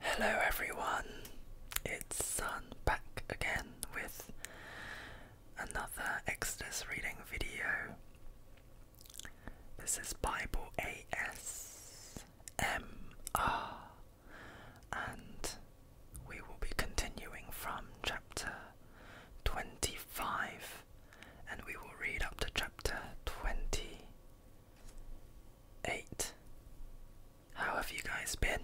Hello everyone, it's Sun back again with another Exodus reading video. This is Bible ASMR, and we will be continuing from chapter 25 and we will read up to chapter 20. 8. How have you guys been?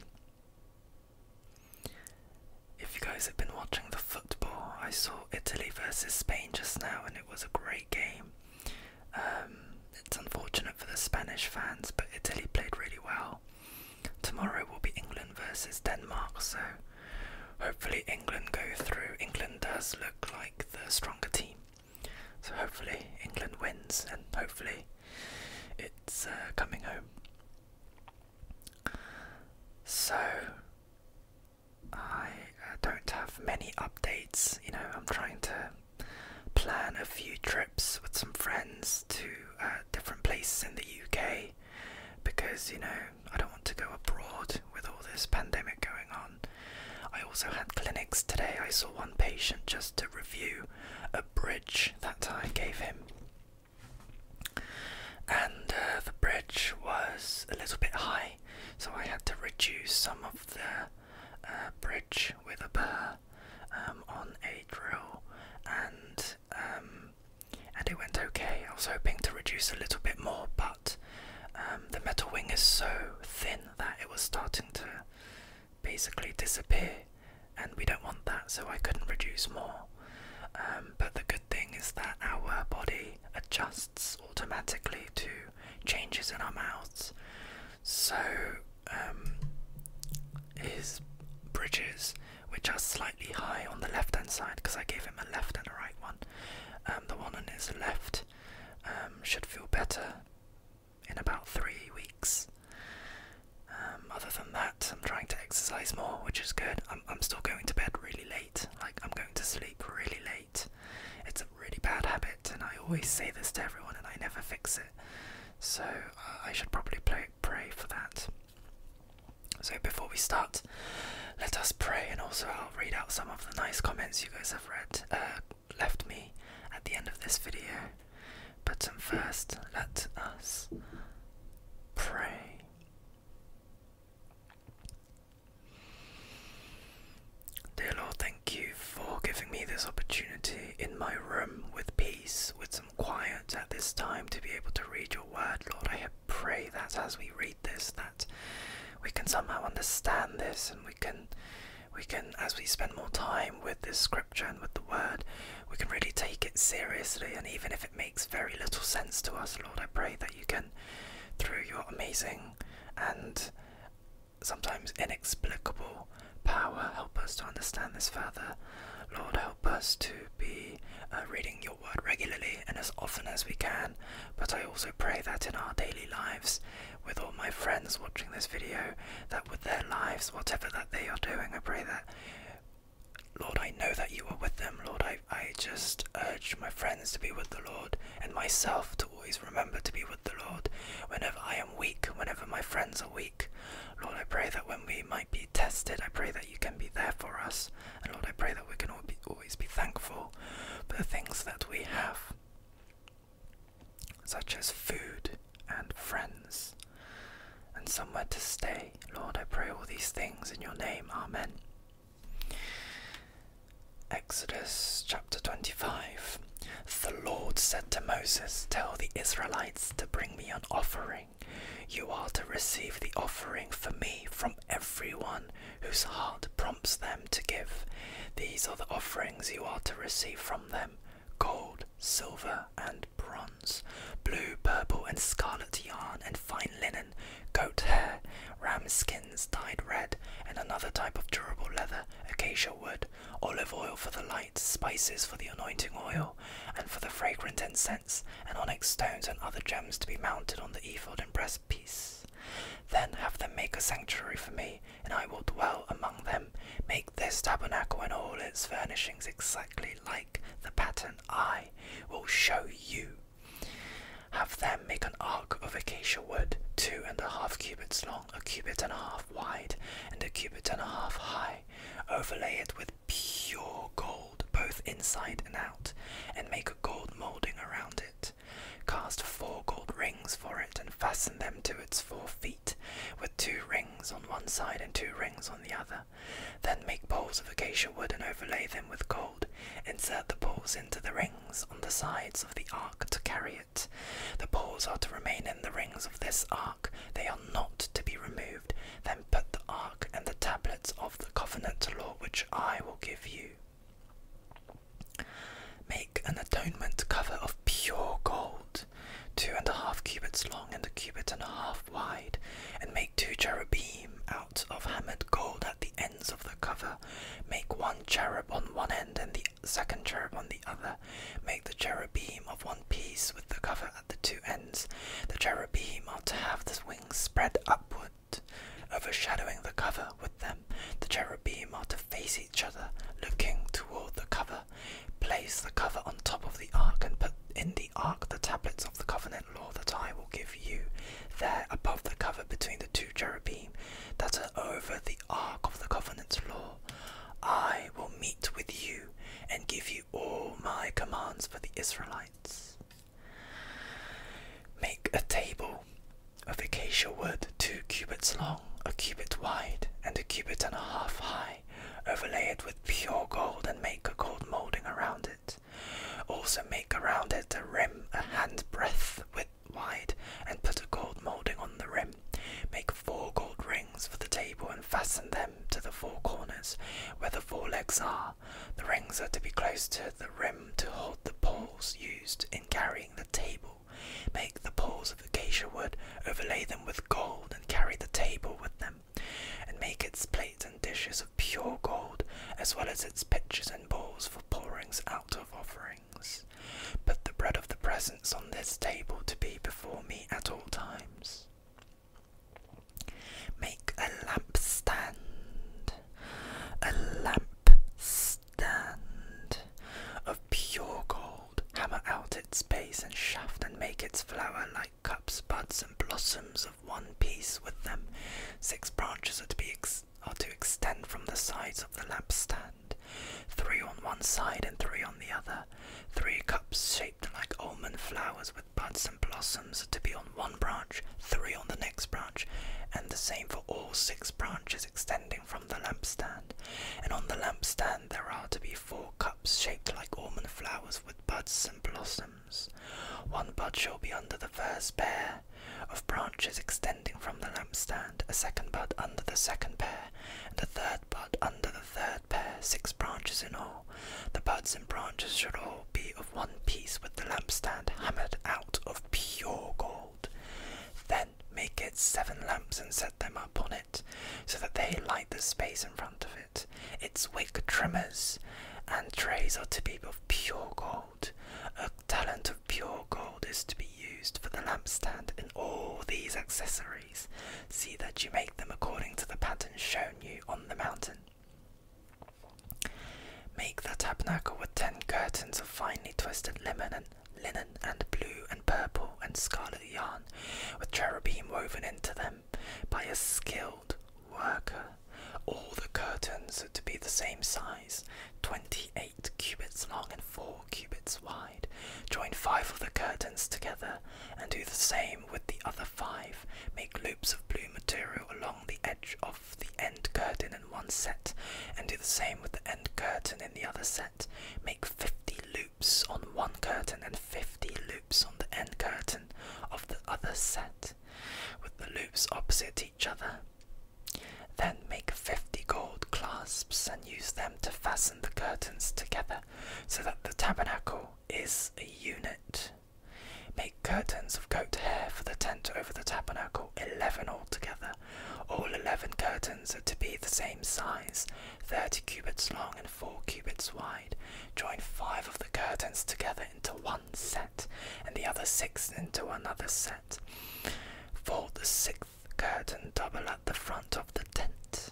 If you guys have been watching the football, I saw Italy versus Spain just now and it was a great game. Um, it's unfortunate for the Spanish fans, but Italy played really well. Tomorrow will be England versus Denmark, so hopefully England go through. England does look like the stronger team. So hopefully England wins, and hopefully it's uh, coming home. So I uh, don't have many updates. You know, I'm trying to plan a few trips with some friends to uh, different places in the UK because you know I don't want to go abroad with all this pandemic going on. I also had clinics today. I saw one patient just to review a bridge that I gave him. And uh, the bridge was a little bit high, so I had to reduce some of the uh, bridge with a burr um, on a drill, and um, and it went okay. I was hoping to reduce a little bit more, but um, the metal wing is so thin that it was starting to basically disappear, and we don't want that, so I couldn't reduce more. Um, but the good thing is that our body adjusts automatically to changes in our mouths. So, um, his bridges, which are slightly high on the left hand side, because I gave him a left and a right one, um, the one on his left should feel better in about three weeks. Um, other than that, I'm trying to exercise more, which is good. I'm, I'm still going to bed really late. Like, I'm going to sleep really late. It's a really bad habit, and I always say this to everyone, and I never fix it. So, uh, I should probably play, pray for that. So, before we start, let us pray, and also I'll read out some of the nice comments you guys have read, uh, left me at the end of this video. But first, let us pray. Dear Lord, thank you for giving me this opportunity in my room with peace, with some quiet at this time to be able to read your word. Lord, I pray that as we read this that we can somehow understand this and we can we can, as we spend more time with this scripture and with the word, we can really take it seriously. And even if it makes very little sense to us, Lord, I pray that you can, through your amazing and sometimes inexplicable power, help us to understand this further. Lord, help us to be uh, reading your word regularly and as often as we can. But I also pray that in our daily lives, with all my friends watching this video that with their lives, whatever that they are doing, I pray that, Lord, I know that you are with them. Lord, I, I just urge my friends to be with the Lord and myself to always remember to be with the Lord whenever I am weak, whenever my friends are weak. Lord, I pray that when we might be tested, I pray that you can be there for us. And Lord, I pray that we can always be thankful for the things that we have such as food and friends, and somewhere to stay. Lord, I pray all these things in your name. Amen. Exodus chapter 25. The Lord said to Moses, Tell the Israelites to bring me an offering. You are to receive the offering for me from everyone whose heart prompts them to give. These are the offerings you are to receive from them gold, silver, and bronze, blue, purple, and scarlet yarn, and fine linen, goat hair, ram skins dyed red, and another type of durable leather, acacia wood, olive oil for the light, spices for the anointing oil, and for the fragrant incense, and onyx stones and other gems to be mounted on the ephod and breastpiece. Then have them make a sanctuary for me, and I will dwell among them. Make this tabernacle and all its furnishings exactly like the pattern I will show you. Have them make an ark of acacia wood, two and a half cubits long, a cubit and a half wide, and a cubit and a half high. Overlay it with pure gold, both inside and out, and make a gold moulding around it. Cast four gold rings for it and fasten them to its four feet two rings on one side and two rings on the other. Then make poles of acacia wood and overlay them with gold. Insert the poles into the rings on the sides of the ark to carry it. The poles are to remain in the rings of this ark, they are not to be removed. Then put the ark and the tablets of the covenant law which I will give you. May an atonement cover of pure gold, two and a half cubits long and a cubit and a half wide, and make two cherubim out of hammered gold at the ends of the cover. Make one cherub on one end and the second cherub on the other. Make the cherubim of one piece with the cover at the two ends. The cherubim are to have the wings spread upward, overshadowing the cover with them. The cherubim are to face each other, looking toward the cover. Place the cover on top of the ark and put in the ark the tablets of the covenant law that I will give you. There, above the cover between the two cherubim that are over the ark of the covenant law, I will meet with you and give you all my commands for the Israelites. Make a table of acacia wood two cubits long a cubit wide, and a cubit and a half high. Overlay it with pure gold and make a gold moulding around it. Also make around it a rim a hand breadth width wide, and put a gold moulding on the rim. Make four gold rings for the table and fasten them to the four corners where the four legs are. The rings are to be close to the rim to hold the poles used in carrying the table Make the poles of acacia wood, overlay them with gold, and carry the table with them. And make its plates and dishes of pure gold, as well as its pitchers and bowls for pourings out of offerings. Put the bread of the presence on this table to be before me at all times. Make a lampstand, a lampstand of pure gold hammer out its base and shaft, and make its flower like cups, buds, and blossoms of one piece with them. Six branches are to, be are to extend from the sides of the lamp stand, three on one side and three on the other. Three cups shaped like almond flowers with buds and blossoms to be on one branch, three on the next branch, and the same for all six branches extending from the lampstand, and on the lampstand there are to be four cups shaped like almond flowers with buds and blossoms. One bud shall be under the first pair of branches extending from the lampstand, a second bud under the second pair, and a third bud under the third pair, six branches in all. The buds and branches should all be of one piece with the lampstand hammered out of pure gold. Then make it seven lamps and set them up on it, so that they light the space in front of it. Its wick trimmers and trays are to be of pure gold. A talent of pure gold is to be used for the lampstand and all these accessories. See that you make them according to the pattern shown you on the mountain. Make the tabernacle with ten curtains of finely twisted linen. and linen and blue and purple and scarlet yarn, with cherubim woven into them by a skilled worker. All the curtains to be the same size, twenty eight cubits long and four cubits wide. Join five of the curtains together and do the same with the other five. Make loops of blue material along the edge of the end curtain in one set, and do the same with the end curtain in the other set. Make fifty loops on one curtain and 50 loops on the end curtain of the other set, with the loops opposite each other. Then make 50 gold clasps and use them to fasten the curtains together so that the tabernacle is a unit. Make curtains of goat hair for the tent over the tabernacle, 11 altogether. All 11 curtains are to be the same size, thirty cubits long and four cubits wide. Join five of the curtains together into one set, and the other six into another set. Fold the sixth curtain double at the front of the tent.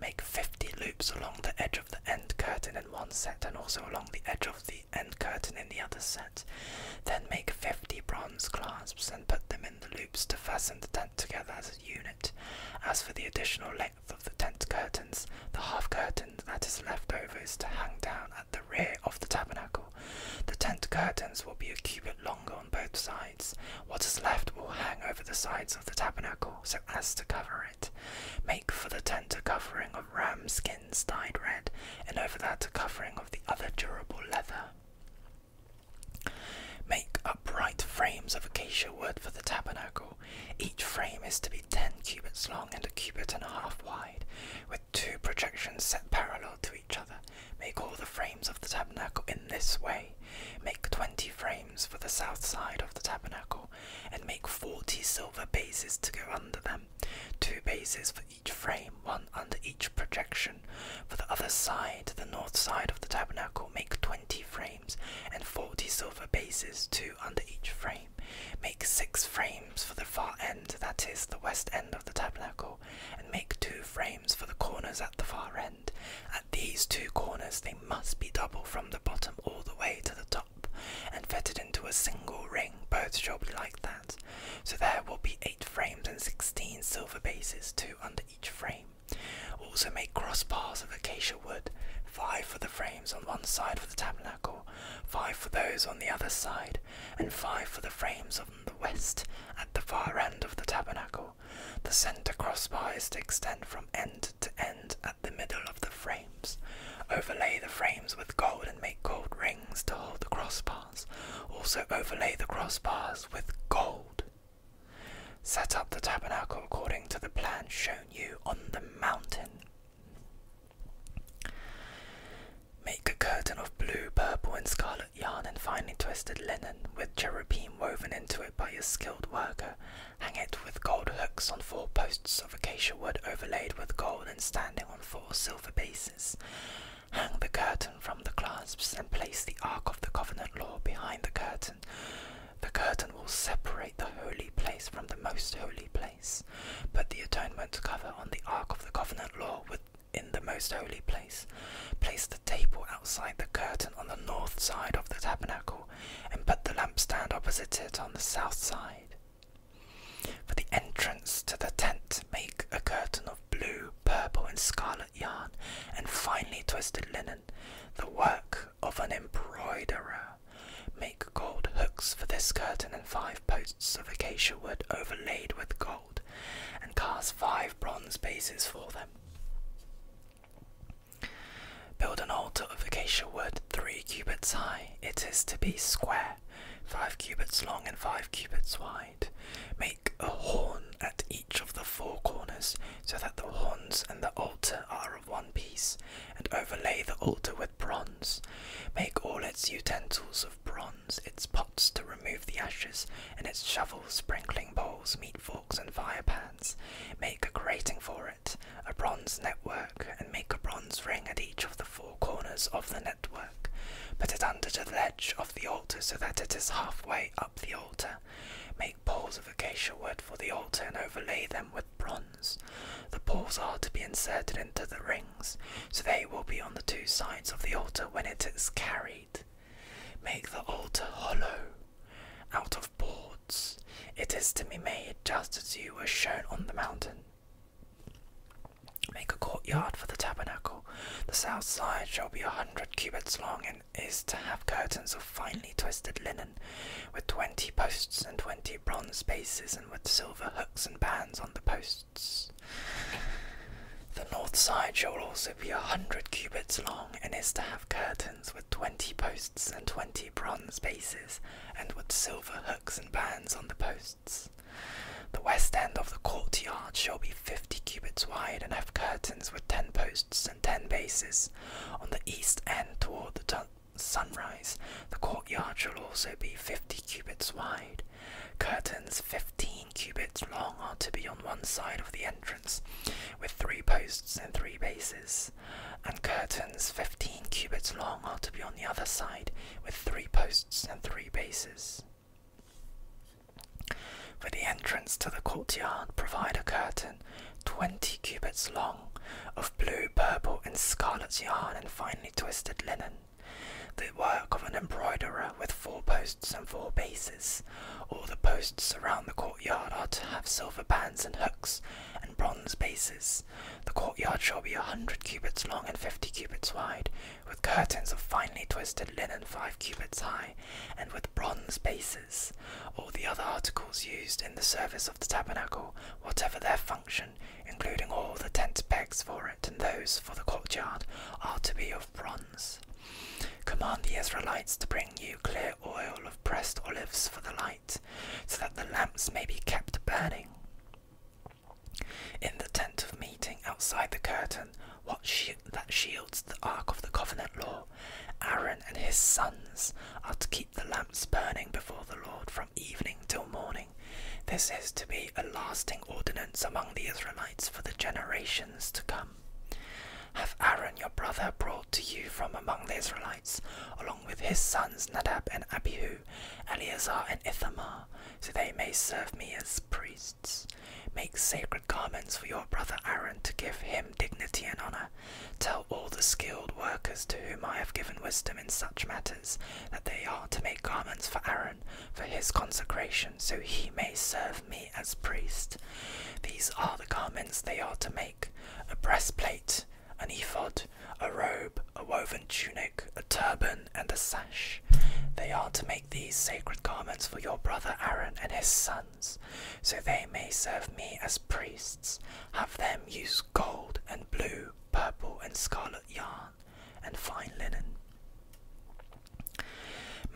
Make 50 loops along the edge of the end curtain in one set and also along the edge of the end curtain in the other set. Then make 50 bronze clasps and put them in the loops to fasten the tent together as unit. As for the additional length of the tent curtains, the half curtain that is left over is to hang down at the rear of the tabernacle. The tent curtains will be a cubit longer on both sides. What is left will hang over the sides of the tabernacle so as to cover it. Make for the tent a covering of ram skins dyed red, and over that a covering of the other durable leather. Make upright frames of acacia wood for the tabernacle. Each frame is to be ten cubits long and a cubit and a half wide, with two projections set parallel to each other. Make all the frames of the tabernacle in this way. Make twenty frames for the south side of the tabernacle, and make forty silver bases to go under them. Two bases for each frame, one under each projection. For the other side, the north side of the tabernacle, make twenty frames and 40 silver bases, two under each frame. Make six frames for the far end, that is, the west end of the tabernacle, and make two frames for the corners at the far end. At these two corners, they must be double from the bottom all the way to the top, and fitted into a single ring. Both shall be like that. So there will be eight frames and sixteen silver bases, two under each frame. Also make crossbars of acacia wood, five for the frames on one side of the tabernacle, five for those on the other side, and five for the frames on the west at the far end of the tabernacle. The centre crossbar is to extend from end to end at the middle of the frames. Overlay the frames with gold and make gold rings to hold the crossbars. Also overlay the crossbars with gold. Set up the tabernacle according to the plan shown you on the mountain. Make a curtain of blue, purple, and scarlet yarn and finely twisted linen with cherubim woven into it by a skilled worker. Hang it with gold hooks on four posts of acacia wood overlaid with gold and standing on four silver bases. Hang the curtain from the clasps and place the Ark of the Covenant Law behind the curtain. The curtain will separate the holy place from the most holy place, Put the atonement cover on the Ark of the Covenant law within the most holy place. Place the table outside the curtain on the north side of the tabernacle, and put the lampstand opposite it on the south side. For the entrance to the tent, make a curtain of blue, purple, and scarlet yarn and finely twisted linen, the work of an embroiderer. Make gold hooks for this curtain and five posts of acacia wood overlaid with gold, and cast five bronze bases for them. Build an altar of acacia wood three cubits high. It is to be square, five cubits long and five cubits wide. Make a horn at each of the four corners, so that the horns and the altar are of one piece, and overlay the altar with bronze. Make all its utensils of bronze, its pots to remove the ashes, and its shovels, sprinkling bowls, meat forks, and fire pans. Make a grating for it, a bronze network, and make a bronze ring at each of the four corners of the network. Put it under the ledge of the altar so that it is halfway up the altar, Make poles of acacia wood for the altar and overlay them with bronze. The poles are to be inserted into the rings, so they will be on the two sides of the altar when it is carried. Make the altar hollow out of boards. It is to be made just as you were shown on the mountain. Make a courtyard for the tabernacle. The south side shall be a hundred cubits long is to have curtains of finely twisted linen with 20 posts and 20 bronze bases and with silver hooks and bands on the posts. The north side shall also be a hundred cubits long and is to have curtains with 20 posts and 20 bronze bases and with silver hooks and bands on the posts. The west end of the courtyard shall be 50 cubits wide and have curtains with 10 posts and ten bases. On the east end toward the sunrise, the courtyard shall also be fifty cubits wide. Curtains fifteen cubits long are to be on one side of the entrance, with three posts and three bases, and curtains fifteen cubits long are to be on the other side, with three posts and three bases. For the entrance to the courtyard, provide a curtain 20 cubits long, of blue, purple, and scarlet yarn and finely twisted linen, the work of an embroiderer with four posts and four bases. All the posts around the courtyard are to have silver bands and hooks and bronze bases. The courtyard shall be a hundred cubits long and fifty cubits wide, with curtains of finely twisted linen five cubits high, and with bronze bases. All the other articles used in the service of the tabernacle, whatever their function, including all the tent pegs for it and those for the courtyard, are to be of bronze. Command the Israelites to bring you clear oil of pressed olives for the light, so that the lamps may be kept burning. In the tent of meeting outside the curtain, what that shields the ark of the covenant law, Aaron and his sons are to keep the lamps burning before the Lord from evening till morning. This is to be a lasting ordinance among the Israelites for the generations to come. Have Aaron your brother brought to you from among the Israelites, along with his sons Nadab and Abihu, Eleazar and Ithamar, so they may serve me as priests. Make sacred garments for your brother Aaron to give him dignity and honor, Tell all the skilled workers to whom I have given wisdom in such matters that they are to make garments for Aaron for his consecration, so he may serve me as priest. These are the garments they are to make a breastplate, an ephod, a robe, a woven tunic, a turban, and a sash. They are to make these sacred garments for your brother Aaron and his son, so they may serve me as priests. Have them use gold and blue, purple and scarlet yarn, and fine linen.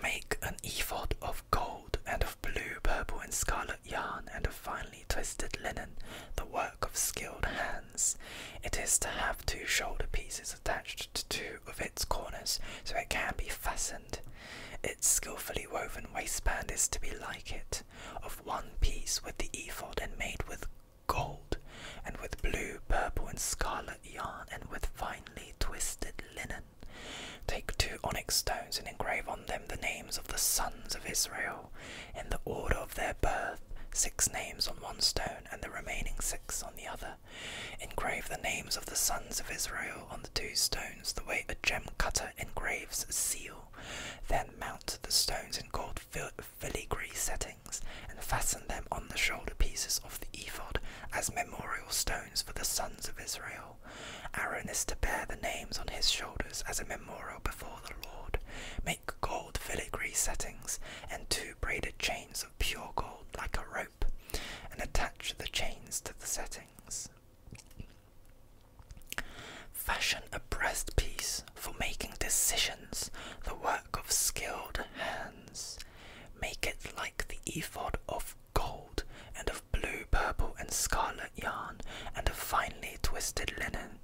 Make an ephod of gold and of blue, purple, and scarlet yarn, and of finely twisted linen, the work of skilled hands. It is to have two shoulder pieces attached to two of its corners, so it can be fastened. Its skilfully woven waistband is to be like it of one piece with the ephod and made with gold, and with blue, purple, and scarlet yarn, and with finely twisted linen. Take two onyx stones and engrave on them the names of the sons of Israel, in the order of their birth, six names on one stone, and the remaining six on the other. Engrave the names of the sons of Israel on the two stones, the way a gem cutter engraves a seal. Then mount the stones in gold filigree settings and fasten them on the shoulder pieces of the ephod as memorial stones for the sons of Israel. Aaron is to bear the names on his shoulders as a memorial before the Lord. Make gold filigree settings and two braided chains of pure gold like a rope, and attach the chains to the settings. Fashion a breastpiece for making decisions, the work of skilled hands. Make it like the ephod of gold and of blue, purple, and scarlet yarn, and of finely twisted linen.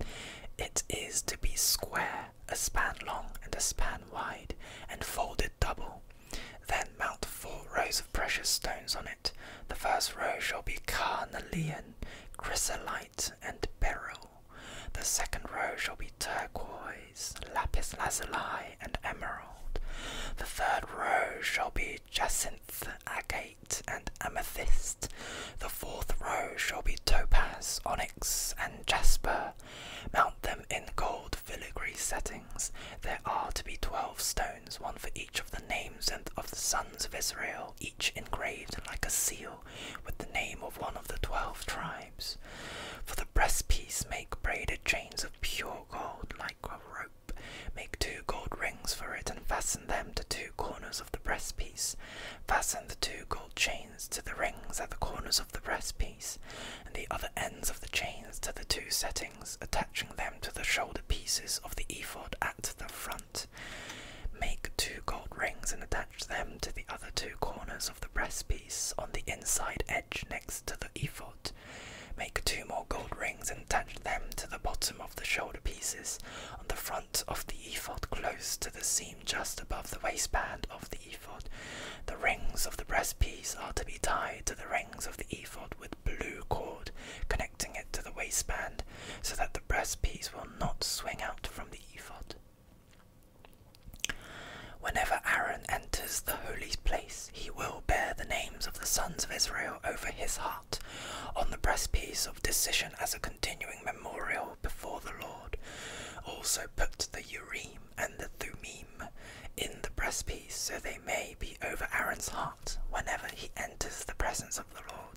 It is to be square, a span long, and a span wide, and folded double. Then mount four rows of precious stones on it. The first row shall be carnelian, vermilion, chrysolite, and beryl. The second row shall be turquoise, lapis lazuli, and emerald. The third row shall be jacinth, agate, and amethyst. The fourth row shall be topaz, onyx, and jasper. Mount them in gold filigree settings. There are to be twelve stones, one for each of the names and of the sons of Israel, each engraved like a seal with the name of one of the twelve tribes. For the breastpiece, make braided chains of pure gold like a rope. Make two gold rings for it and fasten them to two corners of the breastpiece. Fasten the two gold chains to the rings at the corners of the breastpiece, and the other ends of the chains to the two settings, attaching them to the shoulder pieces of the ephod at the front. Make two gold rings and attach them to the other two corners of the breastpiece on the inside edge next to the ephod. Make two more gold rings and attach them to the bottom of the shoulder pieces on the front of the ephod close to the seam just above the waistband of the ephod. The rings of the breastpiece are to be tied to the rings of the ephod with blue cord connecting it to the waistband so that the breast piece will not swing out from the ephod. Whenever Aaron enters the holy place, he will bear the names of the sons of Israel over his heart on the breastpiece of decision as a continuing memorial before the Lord. Also put the Urim and the Thummim in the breastpiece so they may be over Aaron's heart whenever he enters the presence of the Lord.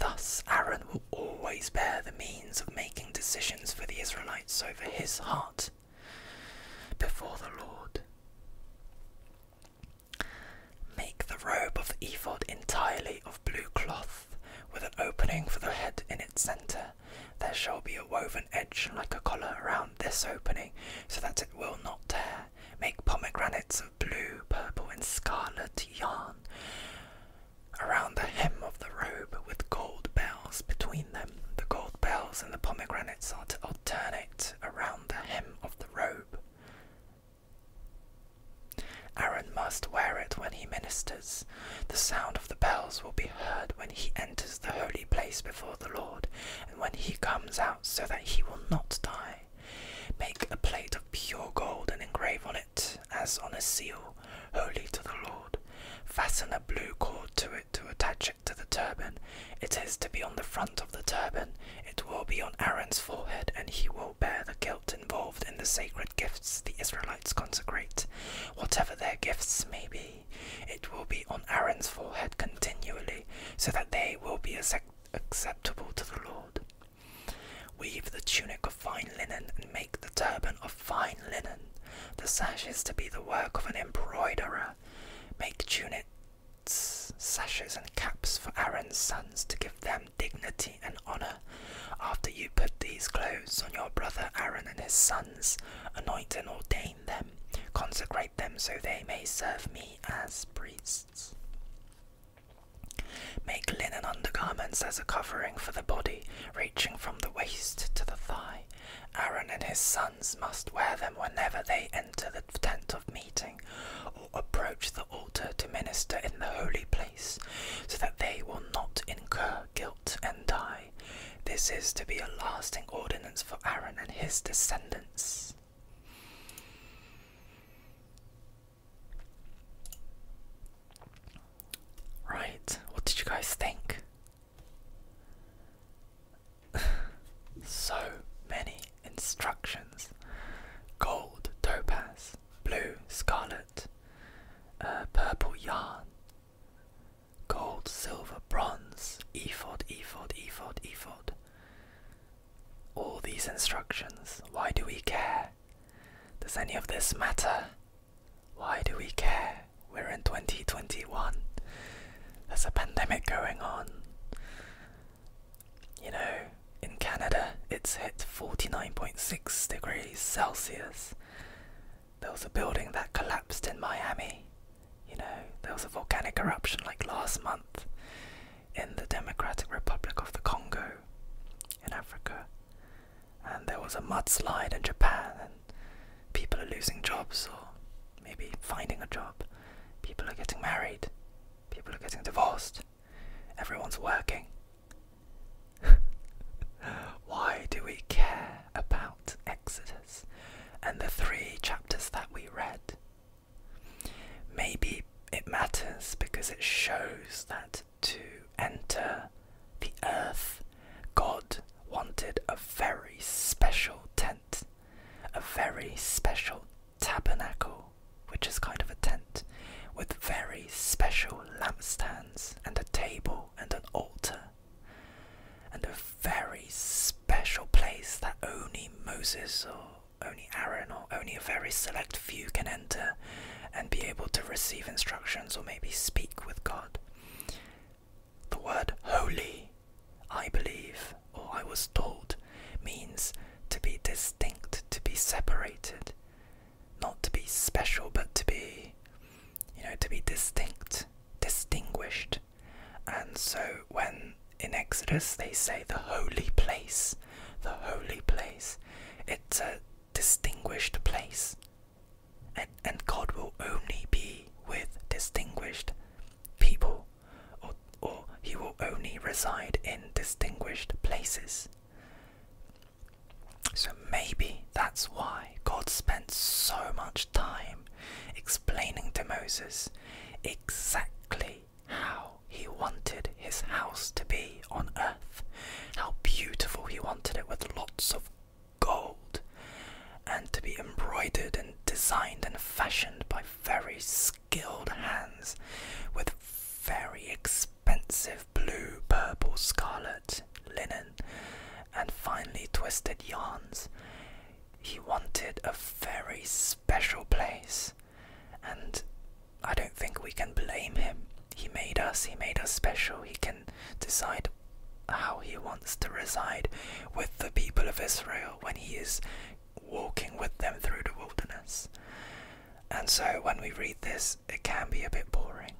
Thus, Aaron will always bear the means of making decisions for the Israelites over his heart before the Lord. Make the robe of ephod entirely of blue cloth, with an opening for the head in its centre. There shall be a woven edge like a collar around this opening, so that it will not tear. Make pomegranates of blue, purple, and scarlet yarn around the hem of the robe with gold bells between them. The gold bells and the pomegranates are to alternate around the hem of the robe. Aaron must wear it when he ministers. The sound of the bells will be heard when he enters the holy place before the Lord, and when he comes out, so that he will not die. Make a plate of pure gold and engrave on it, as on a seal, holy to the Lord. Fasten a blue cord to it to attach it to the turban. It is to be on the front of the turban. It will be on Aaron's forehead, and he will bear the guilt involved in the sacred gifts the Israelites consecrate. Whatever their gifts may be, it will be on Aaron's forehead continually, so that they will be acceptable to the Lord. Weave the tunic of fine linen and make the turban of fine linen. The sashes to be the work of an embroiderer. Make tunics, sashes, and caps for Aaron's sons to give them dignity and honor. After you put these clothes on your brother Aaron and his sons, anoint and ordain them, consecrate them so they may serve me as priests. Make linen undergarments as a covering for the body, reaching from the waist to the thigh. Aaron and his sons must wear them whenever they enter the tent of meeting or approach the altar to minister in the holy place, so that they will not incur guilt and die. This is to be a lasting ordinance for Aaron and his descendants. Right, what did you guys think? so many instructions gold, topaz, blue, scarlet, uh, purple yarn, gold, silver, bronze, ephod, ephod, ephod, ephod, all these instructions? Why do we care? Does any of this matter? Why do we care? We're in 2021. There's a pandemic going on. You know, in Canada, it's hit 49.6 degrees Celsius. There was a building that collapsed in Miami. You know, there was a volcanic eruption like last month in the Democratic Republic of the Congo in Africa. And there was a mudslide in Japan, and people are losing jobs or maybe finding a job. People are getting married, people are getting divorced, everyone's working. Why do we care about Exodus and the three chapters that we read? Maybe it matters because it shows that to enter the earth, God wanted a very special tent, a very special tabernacle, which is kind of a tent, with very special lampstands and a table and an altar, and a very special place that only Moses saw only Aaron or only a very select few can enter and be able to receive instructions or maybe speak with God. The word holy, I believe, or I was told, means to be distinct, to be separated, not to be special, but to be, you know, to be distinct, distinguished. And so when in Exodus they say the holy place, the holy place. It's a distinguished place. And, and God will only be with distinguished people, or, or He will only reside in distinguished places. So maybe that's why God spent so much time explaining to Moses exactly how he wanted his house to be on earth, how beautiful he wanted it with lots of gold, and to be embroidered and designed and fashioned by very skilled hands with very expensive blue, purple, scarlet linen and finely twisted yarns. He wanted a very special place and I don't think we can blame him. He made us, he made us special. He can decide how he wants to reside with the people of Israel when he is walking with them through the wilderness. And so when we read this, it can be a bit boring.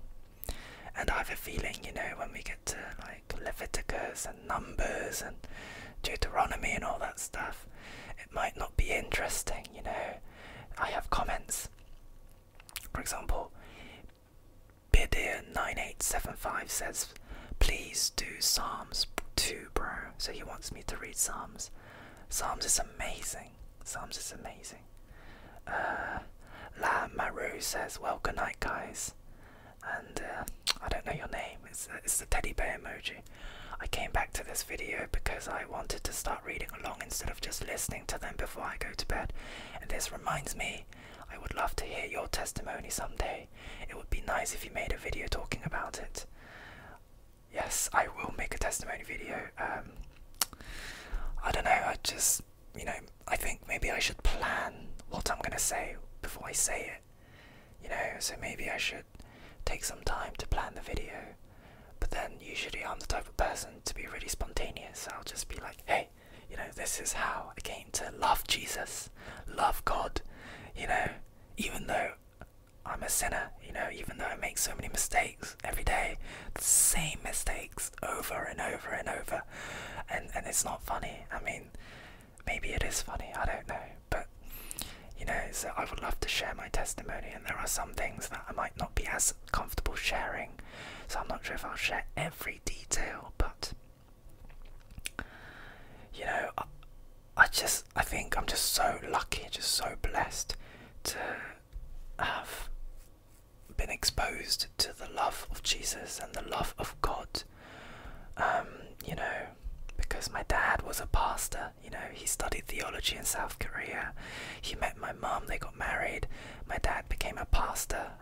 And I have a feeling, you know, when we get to like Leviticus and Numbers and Deuteronomy and all that stuff, it might not be interesting, you know. I have comments. For example, Bidir9875 says, Please do Psalms 2, bro. So he wants me to read Psalms. Psalms is amazing. Psalms is amazing. Uh, La Maru says, Well, good night, guys. And uh, I don't know your name. It's, uh, it's the teddy bear emoji. I came back to this video because I wanted to start reading along instead of just listening to them before I go to bed, and this reminds me I would love to hear your testimony someday. It would be nice if you made a video talking about it. Yes, I will make a testimony video. Um, I don't know, I just, you know, I think maybe I should plan what I'm gonna say before I say it. You know, so maybe I should take some time to plan the video. But then usually I'm the type of person to be really spontaneous. I'll just be like, hey, you know, this is how I came to love Jesus, love God, you know, even though I'm a sinner, you know, even though I make so many mistakes every day, the same mistakes over and over and over. And and it's not funny. I mean, maybe it is funny, I don't know. But you know, so I would love to share my testimony there are some things that I might not be as comfortable sharing, so I'm not sure if I'll share every detail, but you know, I, just I think I'm just so lucky, just so blessed to have been exposed to the love of Jesus and the love of God. Um, you know, because my dad was a pastor you know, he studied theology in South Korea. He met my mom. they got married. My dad became a pastor,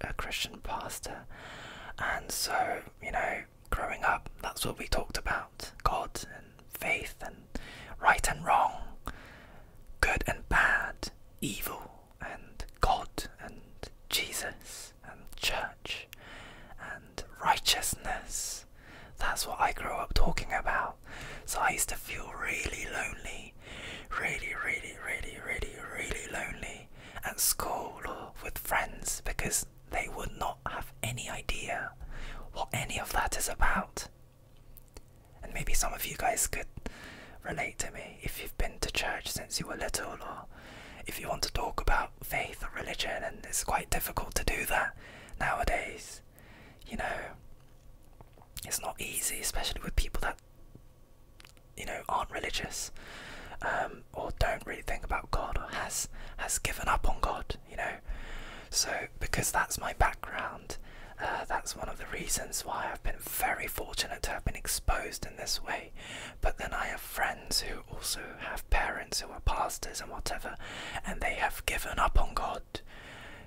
a Christian pastor. And so, you know, growing up, that's what we talked about God and faith and right and wrong, good and bad, evil and God and Jesus and church and righteousness that's what I grew up talking about. So I used to feel really lonely, really, really, really, really, really lonely at school or with friends because they would not have any idea what any of that is about. And maybe some of you guys could relate to me if you've been to church since you were little or if you want to talk about faith or religion and it's quite difficult to do that nowadays you know, it's not easy, especially with people that you know aren't religious um, or don't really think about God or has has given up on God. You know, so because that's my background, uh, that's one of the reasons why I've been very fortunate to have been exposed in this way. But then I have friends who also have parents who are pastors and whatever, and they have given up on God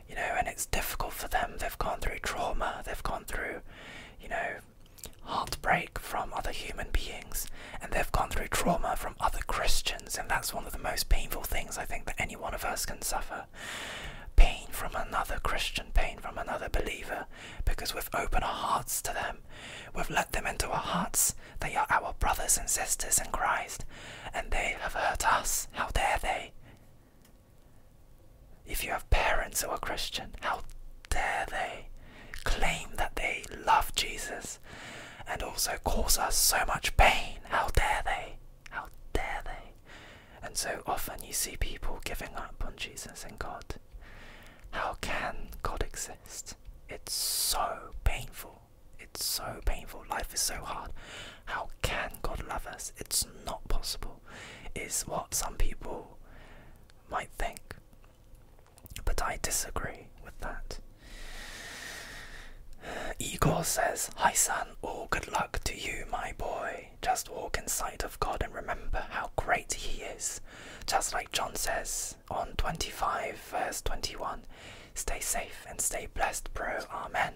you know, and it's difficult for them. They've gone through trauma, they've gone through, you know, heartbreak from other human beings, and they've gone through trauma from other Christians, and that's one of the most painful things I think that any one of us can suffer. Pain from another Christian, pain from another believer, because we've opened our hearts to them. We've let them into our hearts. They are our brothers and sisters in Christ, and they have hurt us. How dare they? If you have parents who are Christian, how dare they claim that they love Jesus and also cause us so much pain? How dare they? How dare they? And so often you see people giving up on Jesus and God. How can God exist? It's so painful. It's so painful. Life is so hard. How can God love us? It's not possible, is what some people might think. But I disagree with that. Igor says, Hi, son. All good luck to you, my boy. Just walk in sight of God and remember how great He is. Just like John says on 25, verse 21 Stay safe and stay blessed, bro. Amen.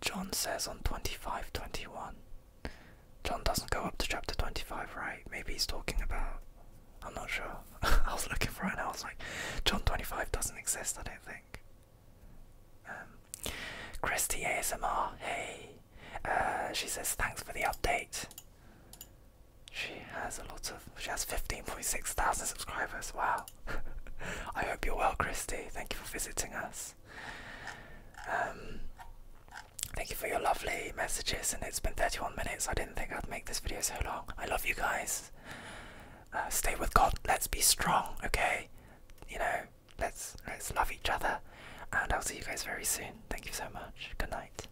John says on 25 21. John doesn't go up to chapter 25, right? Maybe he's talking about. I'm not sure. I was looking for it and I was like, John 25 doesn't exist, I don't think. Um, Christy ASMR, hey. Uh, she says, thanks for the update. She has a lot of. She has 15.6 thousand subscribers. Wow. I hope you're well, Christy. Thank you for visiting us. Um, thank you for your lovely messages. And it's been 31 minutes. I didn't think I'd make this video so long. I love you guys. Uh, stay with God. Let's be strong. Okay. You know, let's let's love each other. And I'll see you guys very soon. Thank you so much. Good night.